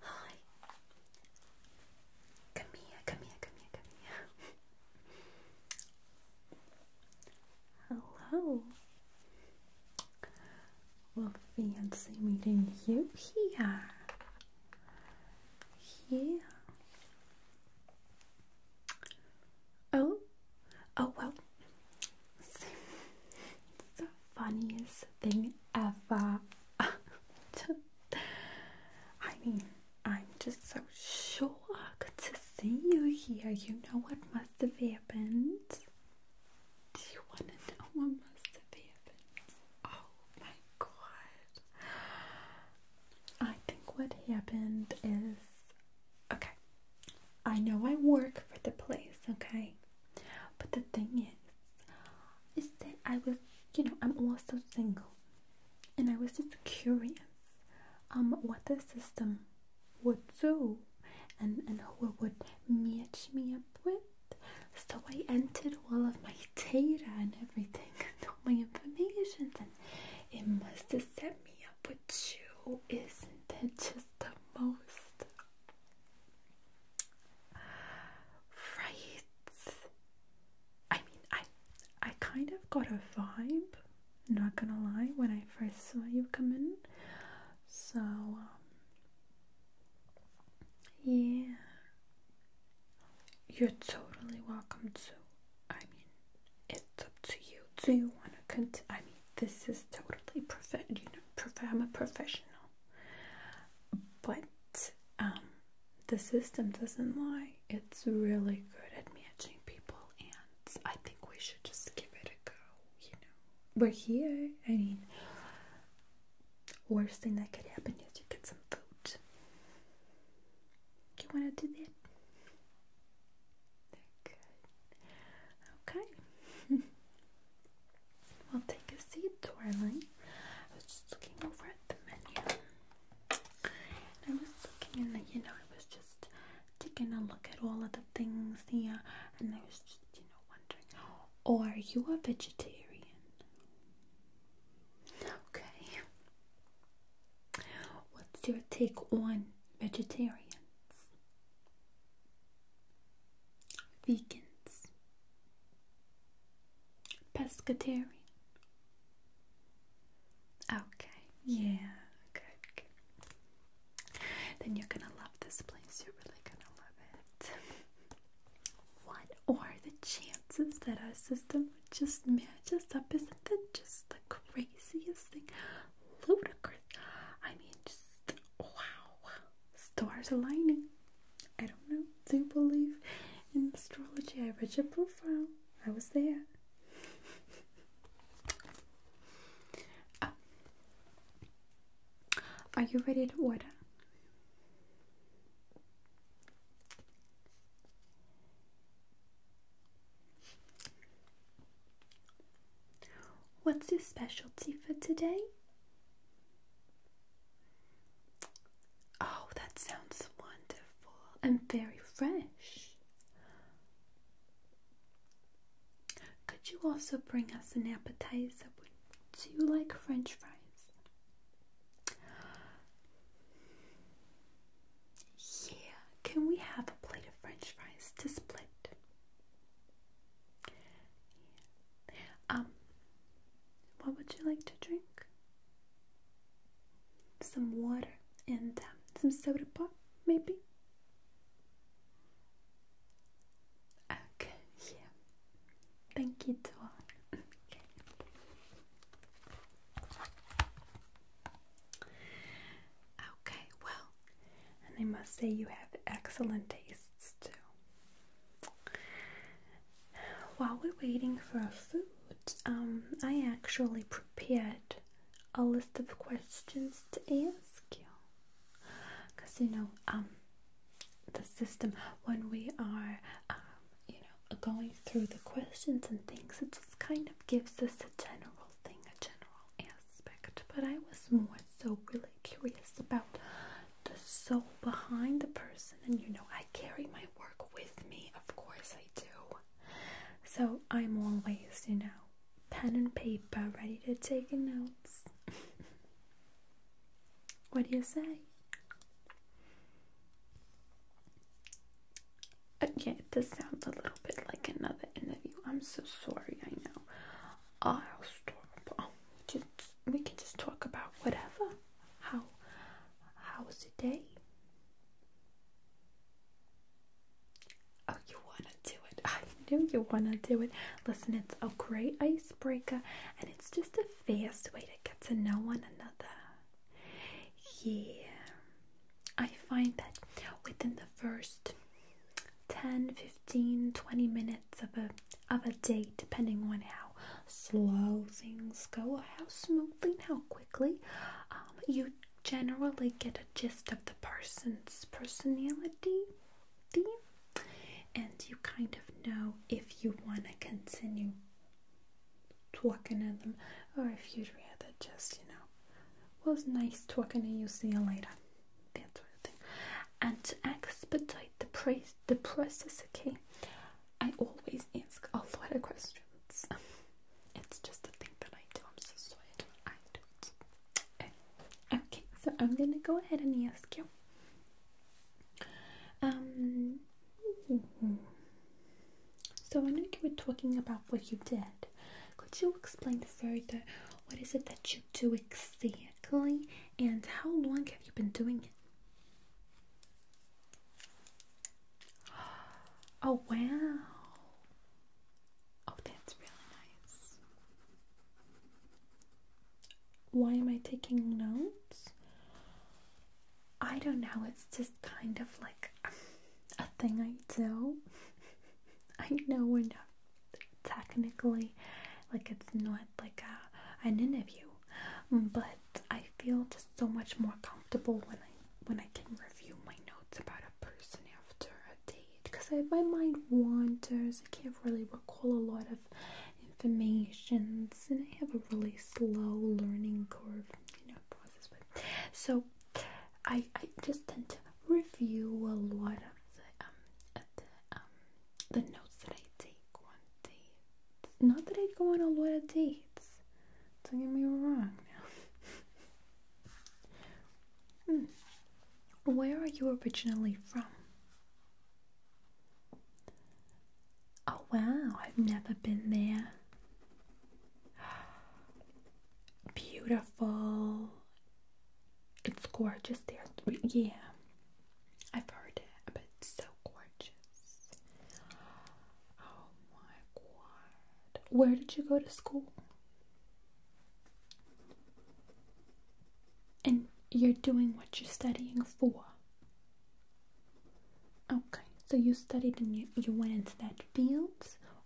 Hi. Come here, come here, Hello. Well, fancy meeting you here. Yeah. Oh, oh well. It's, the funniest thing ever. I mean, I'm just so shocked to see you here. You know what must have happened. Do you want to know what must have happened? Oh my god. I think what happened is Okay. I know I work for the place, okay? But the thing is, is that I was, you know, I'm also single. And I was just curious um what the system would do and, and who it would match me up with. So I entered all of my data and everything and all my information and it must have set me up but you isn't that just the most right? I mean, I I kind of got a vibe, not gonna lie, when I first saw you come in. So um, yeah, you're totally welcome to. I mean, it it's up to you. Do you want to continue? I mean, this is totally perfect. You know, i I'm a professional, but um, the system doesn't lie. It's really good at matching people, and I think we should just give it a go. You know, we're here. I mean, worst thing that could happen is you get some food. You want to do that? Good. Okay. well, take a seat, darling. I was just looking over at the menu. I was looking and, you know, I was just taking a look at all of the things here. And I was just, you know, wondering, oh, are you a vegetarian? Okay. What's your take on vegetarians? Vegans, pescatarian. Okay, yeah, good. Then you're gonna love this place, you're really gonna love it. what are the chances that our system would just match us up? Isn't that just the craziest thing? ludicrous. I mean, just wow, stars aligning. I don't know. Do you believe in astrology? I read your profile. I was there. Oh. Are you ready to order? What's your specialty for today? Oh, that sounds wonderful and very fresh. Could you also bring us an appetizer? Do you like french fries? Yeah, can we have a plate of french fries to split? Um, what would you like to drink? Some water and um, some soda pop, maybe? Okay, yeah. Thank you, Okay. okay, well, and I must say, you have excellent tastes too. While we're waiting for our food, um, I actually prepared a list of questions to ask you. Because, you know, um, the system, when we are, um, you know, going through the questions and things, it just kind of gives us a general thing, a general aspect, but I was more so really curious about the soul behind the person. And you know, I carry my work with me, of course, I do. So I'm always, you know, pen and paper ready to take notes. what do you say? Uh, yeah, this sounds a little bit like another interview. I'm so sorry, I know. I'll stop. we can just talk about whatever. How, how was your day? Oh, you want to do it. I knew you want to do it. Listen, it's a great icebreaker, and it's just a fast way to get to know one another. Yeah. I find that within the first 10, 15, 20 minutes of a of a day, depending on how slow things go, how smoothly and how quickly, um, you generally get a gist of the person's personality, and you kind of know if you want to continue talking to them or if you'd rather just, you know, was nice talking to you. See you later. That sort And to expedite the, pre- the process, okay, I always ask a lot of questions. It's just a thing that I do. I'm so sorry. I do eh. Okay, so I'm gonna go ahead and ask you. Um. So I know you were talking about what you did. Could you explain further what is it that you do exactly and how long have you been doing it? Oh wow. Oh, that's really nice. Why am I taking notes? I don't know, it's just kind of like a thing I do. I know we're not technically like it's not like a, an interview, but I feel just so much more comfortable when I when I can review my notes about a person after a date because my mind wanders. I can't really recall a lot of information, and I have a really slow learning curve, you know, process. But so I I just tend to review a lot of the um, uh, um, the notes that I take on dates. Not that I go on a lot of dates. Don't get me wrong now. Hmm. Where are you originally from? Oh wow, I've never been there beautiful. It's gorgeous there. Yeah, I've heard it, but it's so gorgeous. Oh my god. Where did you go to school? And you're doing what you're studying for. Okay, so you studied in you, you went into that field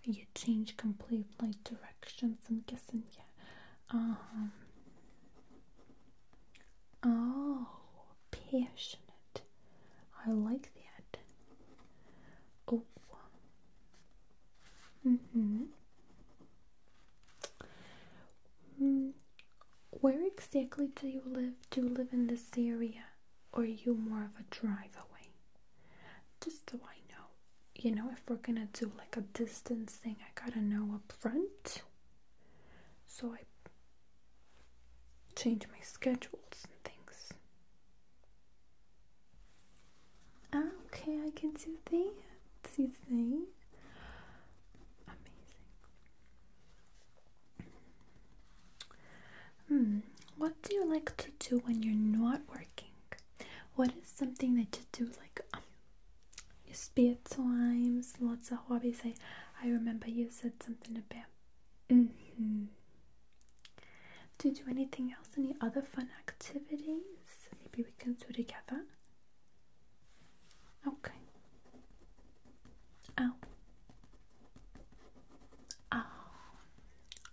you change completely directions. I'm guessing, yeah. Um, oh, passionate. I like that. Oh. Mm hmm. where exactly do you live? Do you live in this area? or you more of a drive away? Just so I know, you know, if we're gonna do like a distance thing, I gotta know up front. So I change my schedules and things. okay, I can do that. You see? Amazing. Hmm, what do you like to do when you're not working? What is something that you do like um, spare times? Lots of hobbies. I, I remember you said something about. hmm. Do you do anything else? Any other fun activities? Maybe we can do together. Okay. Oh, um, ah,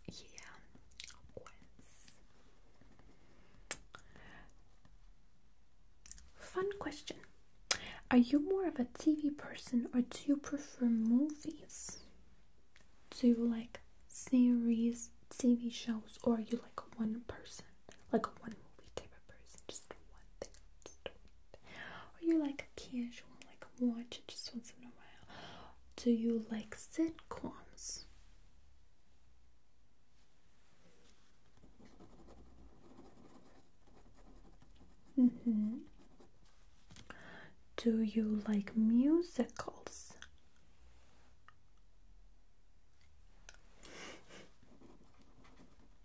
yeah, Fun question. Are you more of a TV person or do you prefer movies? Do you like series, TV shows, or are you like a one person? Like a one movie type of person, just one thing. Just Or you like a casual like watch, it just once in a while. Do you like sitcoms? Mm-hmm. Do you like musicals?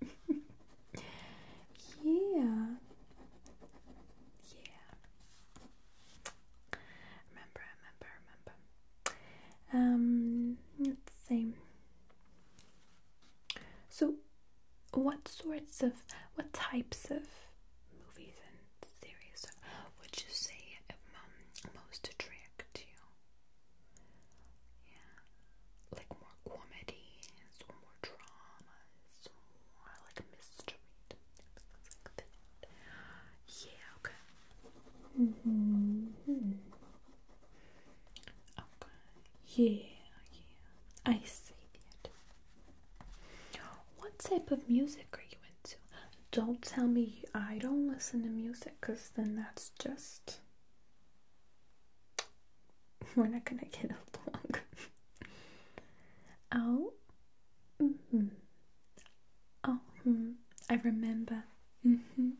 yeah. Yeah. Remember, remember, remember. Um, let So, what sorts of, what types of movies and series would you say most attract you? Yeah, like more comedies or more dramas? more like mystery Yeah, okay. -hmm. Okay. Yeah, yeah. I see that. What type of music are you into? Don't tell me I don't listen to music because then that's just. We're not gonna get along. oh, Mm-hmm. Oh, hmm. I remember. Mm-hmm.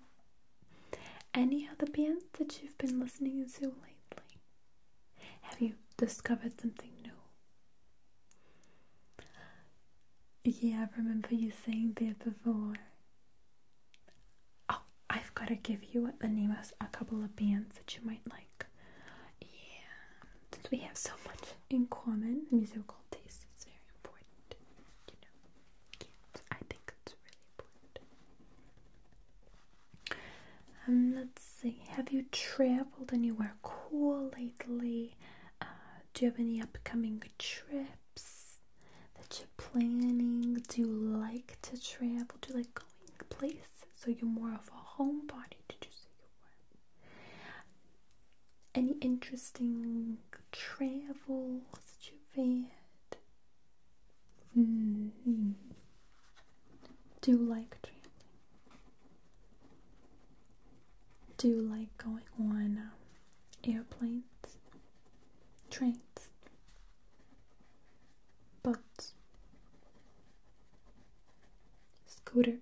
Any other bands that you've been listening to lately? Have you discovered something new? Yeah, I remember you saying that before. Oh, I've got to give you the names of a couple of bands that you might like. Yeah, since we have so much in common, musical taste is very important. You know, I think it's really important. Um, let's see. Have you traveled anywhere cool lately? Uh, do you have any upcoming trips that you're planning? Do you like to travel? Do you like going places? So you're more of a homebody? Did you say any interesting travels you've had? Mm-hmm. Do you like traveling? Do you like going on um, airplanes, trains, boats? scooter,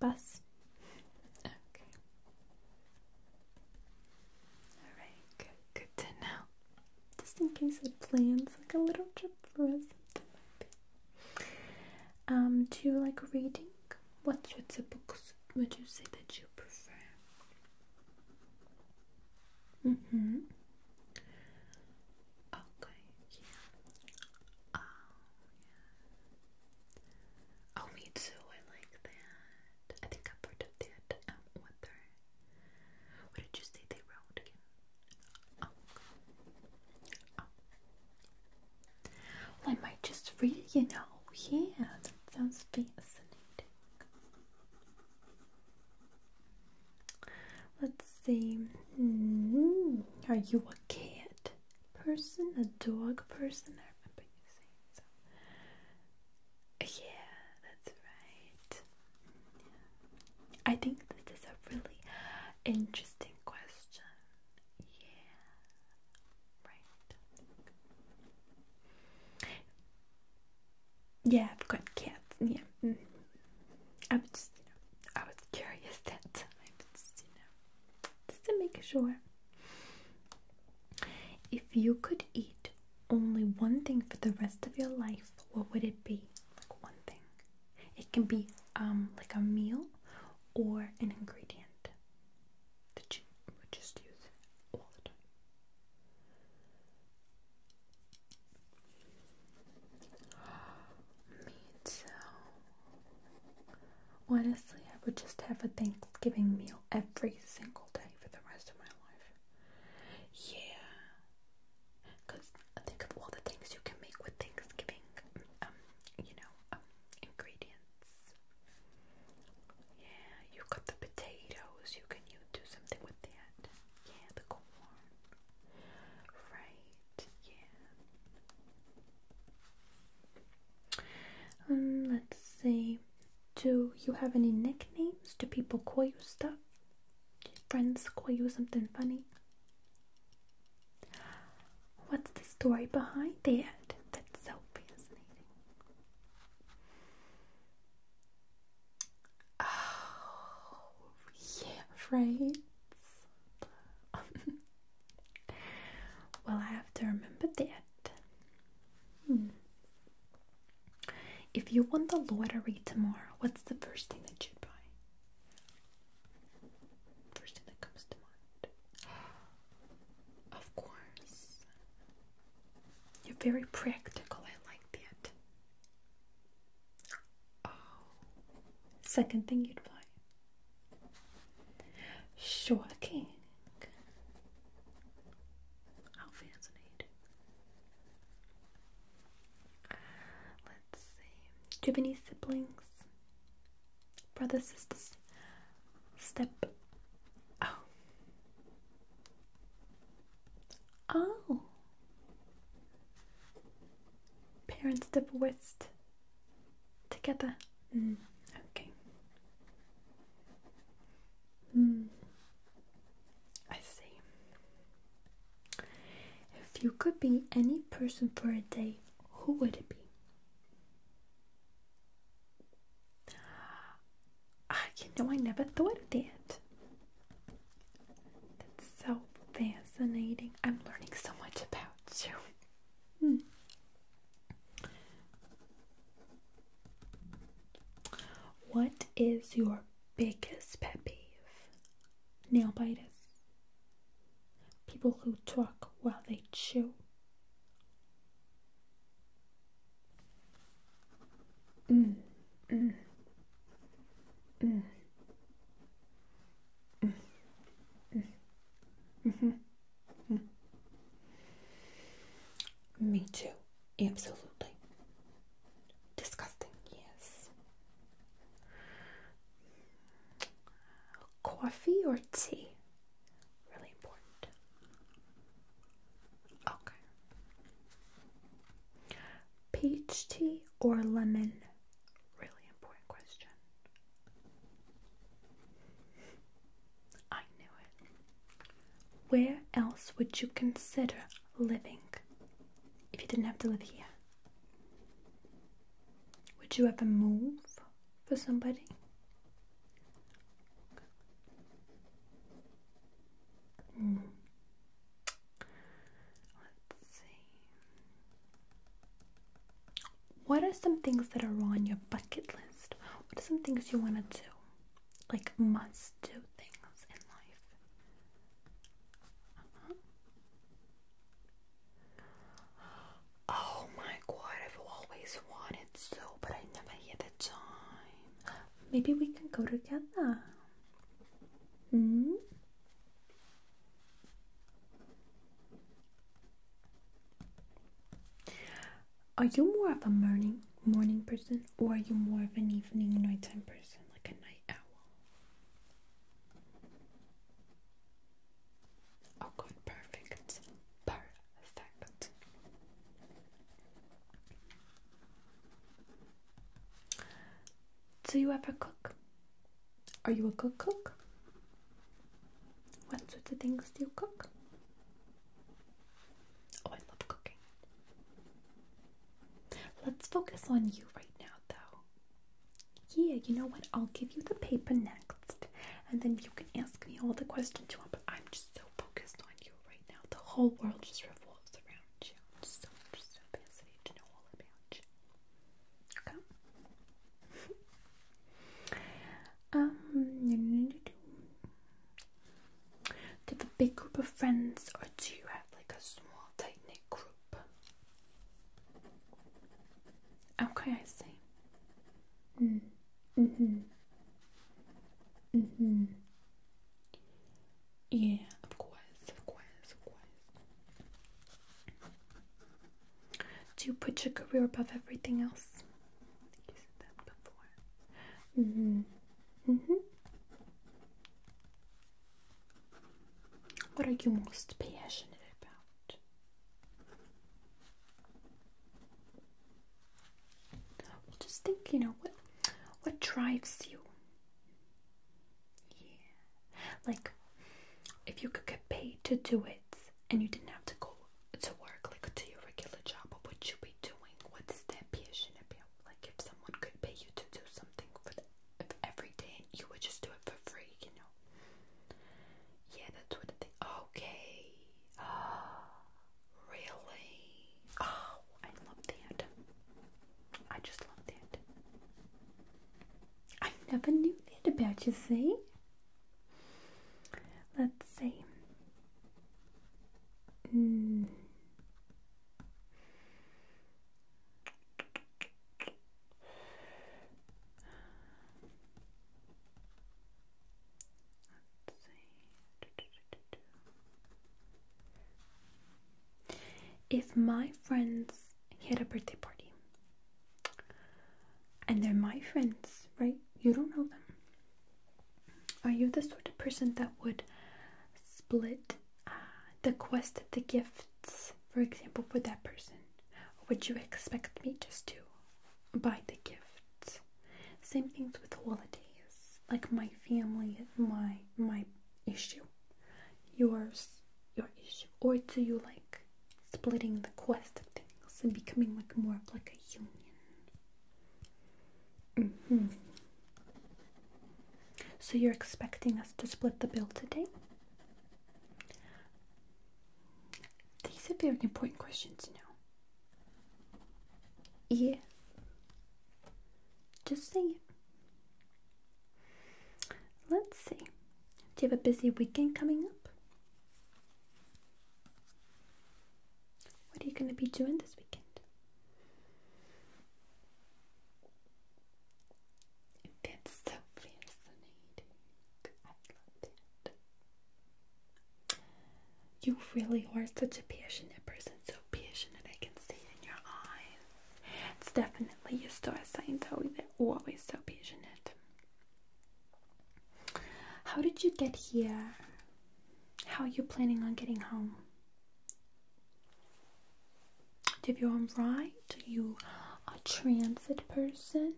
bus. Okay. All right. Good. to know. Just in case it plans like a little trip for us. Um, do you like reading? What sorts of books would you say that you prefer? Mm-hmm. Okay. Yeah. Oh yeah. Oh, me too. I like that. I think I've heard of that. Um, what they? What did you say they wrote oh. Oh. I might just read. it. You know. Yeah. sounds fascinating. Let's see. Hmm. Are you a cat person, a dog person? I Yeah, that's right. I think this is a really interesting question. Yeah, right yeah, I've got cats. Yeah, mm. I was just, you know, I was curious that time, just, you know, just to make sure. If you could eat only one thing for the rest of your life, what would it be? Like one thing. It can be um like a meal or an ingredient that you would just use all me too. Honestly, I would just have a Thanksgiving meal every single day for the rest of my life. Yeah. Because think of all the things you can make with Thanksgiving, um, you know, um, ingredients. Yeah, you got the potatoes, you can you do something with that. Yeah, the corn. Right, yeah. Um, let's see. Do you have any nicknames? Do people call you stuff? friends call you something funny? What's the story behind that? That's so fascinating. Oh, yeah, right. well, I have to remember that. Hmm. If you want the lottery tomorrow, what's the first thing that you'd buy? First thing that comes to mind. Of course. You're very practical, I like that. Oh. second thing you'd buy. Shocking. How fascinating. Let's see. Do you have any siblings? Brothers, sisters? Step. Oh. Oh, parents divorced together. Mm. Okay. Mm. I see. If you could be any person for a day, who would it be? you know, I never thought of that. That's so fascinating. I'm learning so much about you. Hmm. What is your biggest pet peeve? Nail biters. People who talk while they chew. Mm, mm, mm, mm, mm, mm-hmm, Me too, absolutely. Disgusting, yes. Coffee or tea? Really important. Okay. Peach tea or lemon? Really important question. I knew it. Where else would you consider living if you didn't have to live here? Would you ever move for somebody? Let's see. What are some things that are on your bucket list? What are some things you want to do? Like must do things in life? Uh-huh. Oh my god, I've always wanted to, but I never had the time. Maybe we can go together. Hmm? Are you more of a morning morning person or are you more of an evening nighttime person like a night owl? Oh good, perfect. Perfect. Do you ever cook? Are you a good cook? What sort of things do you cook? Oh, I love cooking. Let's focus on you right now, though. Yeah, you know what? I'll give you the paper next, and then you can ask me all the questions you want, but I'm just so focused on you right now. The whole world just revolves around you. I'm so, so fascinated to know all about you. Okay. um, do you have a big group of friends, or do you have like a small, tight knit group? Okay, I see. Mm. Mm hmm. Mm hmm. Yeah, of course, of course, of course. Do you put your career above everything else? I think you said that before. Mm-hmm. Mm-hmm. What are you most passionate about? just think, you know, what what drives you? Yeah. Like if you could get paid to do it and you didn't have to go to work like to your regular job, what would you be doing? What is that passion about? Like if someone could pay you to do something for the, every day you would just do it for free, you know? Yeah, that's what I think. Okay. Really? Oh, I love that. I just love that. I never knew that about you, see? Let's see. Mm. Let's see. If my friends had a birthday party, and they're my friends, right? You don't know them. Are you the sort of person that would split uh, the quest the gifts, for example, for that person? would you expect me just to buy the gift? Same things with holidays. Like my family, my my issue, yours, your issue, or do you like splitting the quest of things and becoming like more of like a union? Mm-hmm. So you're expecting us to split the bill today? These are very important questions, you know. Yeah. Just see. Let's see. Do you have a busy weekend coming up? What are you going to be doing this weekend? That's so fascinating. I love that. You really are such a passionate person, so passionate I can see it in your eyes. It's definitely a star sign, though, they're always so passionate. How did you get here? How are you planning on getting home? Do you have your ride? Are you a transit person?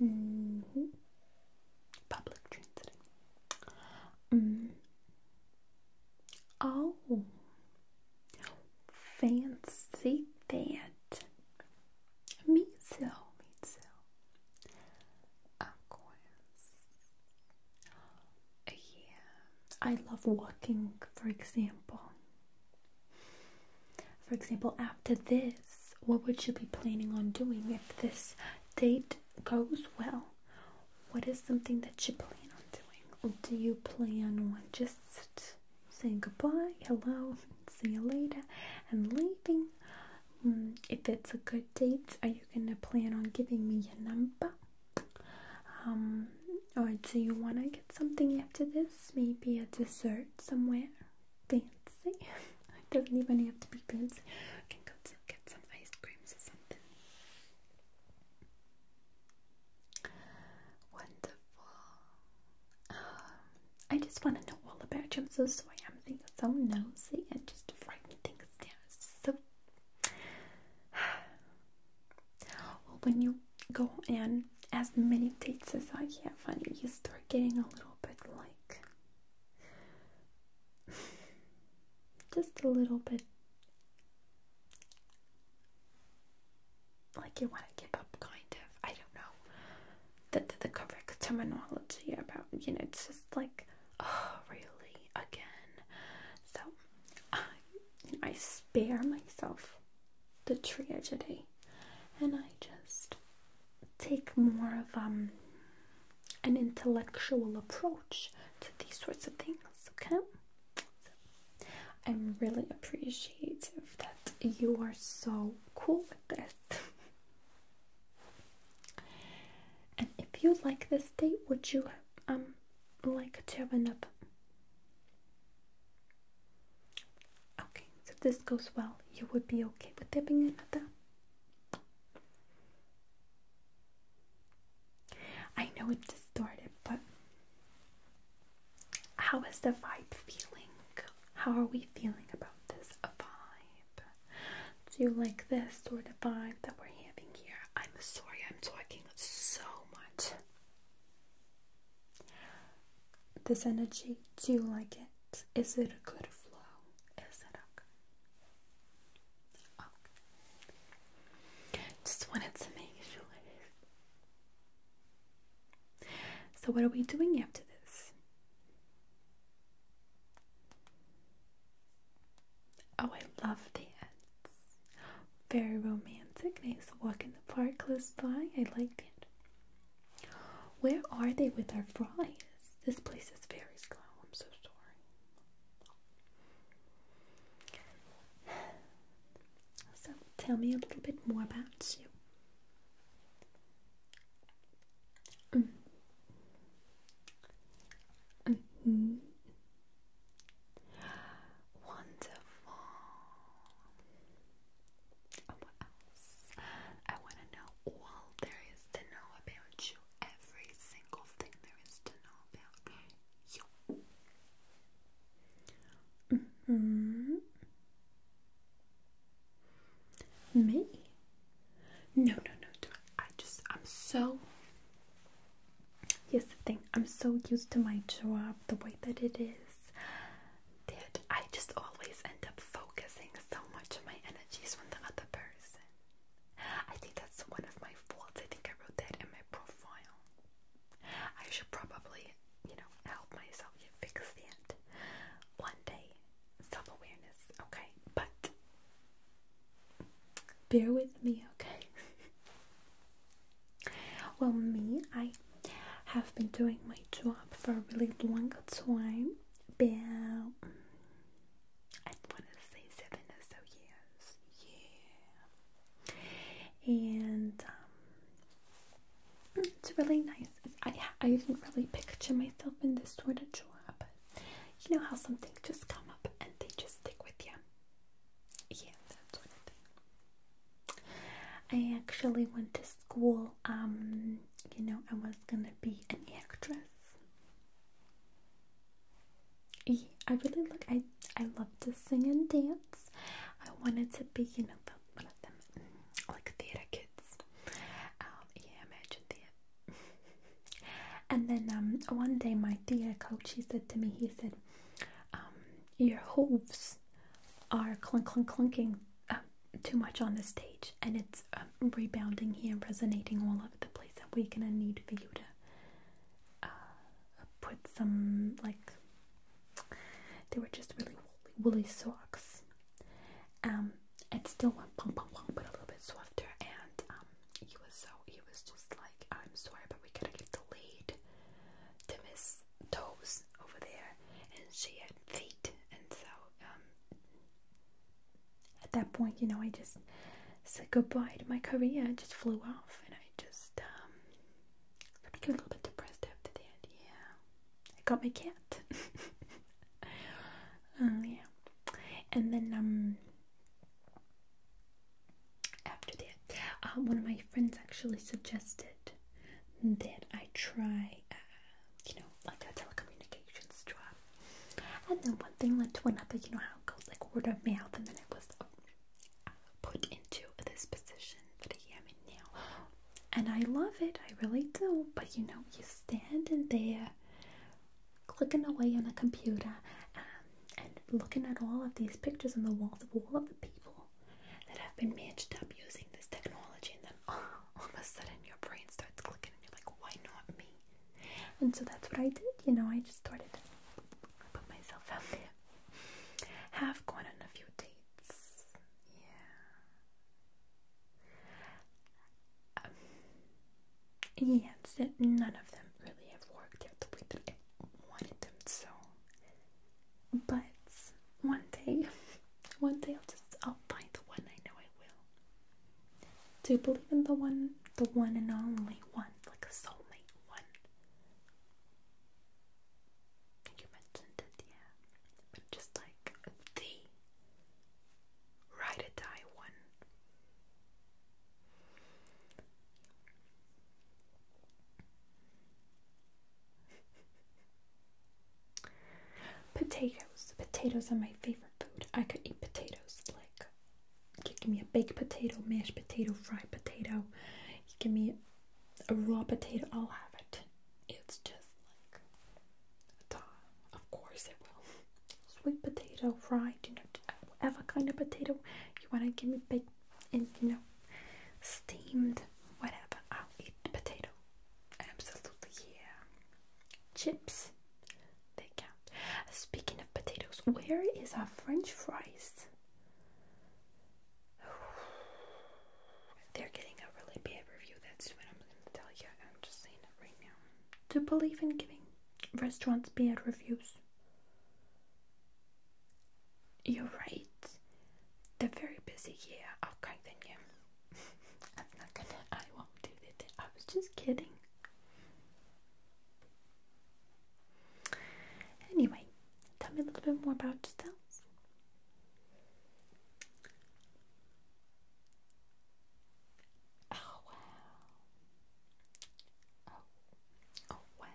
-hmm. Public transit. Mm. Oh, fancy that. Me too, me too. Of course. Yeah, I love walking, for example. For example, after this, what would you be planning on doing if this date goes well, what is something that you plan on doing? do you plan on just saying goodbye, hello, see you later, and leaving? Mm, if it's a good date, are you gonna plan on giving me your number? Um, or do you wanna get something after this? Maybe a dessert somewhere fancy? It doesn't even have to be bibs. I can go get some ice creams or something. Wonderful. Um, I just want to know all about you. so I'm being so nosy and just frightening things down. So, when you go and as many dates as I have, and you start getting a little bit like just a little bit. Like you want to give up, kind of. I don't know the, the, correct terminology about, you know, it's just like, oh, really? Again? So I, I spare myself the tragedy and I just take more of um, an intellectual approach to these sorts of things, okay? I'm really appreciative that you are so cool with this. and if you like this date, would you um like to have another? Okay, so this goes well. You would be okay with there being another? I know it's distorted, but how is the vibe feeling? How are we feeling about this vibe? Do you like this sort of vibe that we're having here? I'm sorry, I'm talking so much. This energy, do you like it? Is it a good flow? Is it okay? Just wanted to make sure. So what are we doing after this? Oh, I love the ants. Very romantic. Nice walk in the park close by. I like it. Where are they with our fries? This place is very slow. I'm so sorry. So, tell me a little bit more about you. Mm. Mm-hmm. Wonderful. Oh, I want to know all there is to know about you, every single thing there is to know about you. -hmm. Me? No, no, no, I just, I'm so. Here's the thing, I'm so used to my job the way that it is that I just always end up focusing so much of my energy is from the other person. I think that's one of my faults. I think I wrote that in my profile. I should probably, you know, help myself get fixed that one day. Self awareness, okay? But bear with me, okay? well, me, I have been doing my job for a really long time about I want to say seven or so years. Yeah, and um, it's really nice. I I didn't really picture myself in this sort of job, you know how some things just come up and they just stick with you. Yeah, that sort thing. I actually went to school um, you know, I was gonna be an actress. I really like. I I love to sing and dance. I wanted to be, you know, one of them, mm, like theater kids. Um, yeah, imagine that. and then um, one day my theater coach he said to me, he said, um, your hooves are clunk clunk clunking. Um, too much on the stage and it's um, rebounding here resonating all over the place and we're gonna need for you to uh, put some like they were just really woolly, socks um it still went pom pom pom but a little bit softer and um he was so he was just like I'm sorry but we gotta get the lead to Miss Toes over there and she had feet and so um at that point, you know, I just said goodbye to my career. I just flew off, and I just um, became a little bit depressed after that. Yeah, I got my cat. um, yeah, and then um, after that, uh, one of my friends actually suggested that I try uh, you know, like a telecommunications job. And then one thing led to another, you know how it goes like word of mouth, and then I was um, put into this position that I am in now. And I love it, I really do. But you know, you stand in there clicking away on a computer um, and looking at all of these pictures on the walls of all of the people that have been matched up using this technology, and then all of a sudden your brain starts clicking and you're like, why not me? And so that's what I did, you know, I just started put myself out there. Have gone on a few dates. Yeah. Um, yes, none of them really have worked out the way that I wanted them so. But one day, one day I'll just, I'll find the one I know I will. Do you believe in the one, the one and only one, like a soulmate one? You mentioned it, yeah, just like the ride or die one. Potatoes. Potatoes are my favorite food. I could eat potatoes like give me a baked potato, mashed potato, fried potato. give me a raw potato, I'll have it. It's just like of course it will. Sweet potato, fried, you know, whatever kind of potato you want to give me baked and you know, steamed, whatever. I'll eat potato. Absolutely, yeah. Chips. They count. Speaking of potatoes, where is our French fries? They're getting a really bad review. That's what I'm going to tell you. I'm just saying it right now. Do believe in giving restaurants bad reviews? You're right. They're very busy here. Yeah. Okay, then I'm not gonna, I won't do that. I was just kidding. Anyway, tell me a little bit more about yourself. Oh wow. Oh, oh Wow.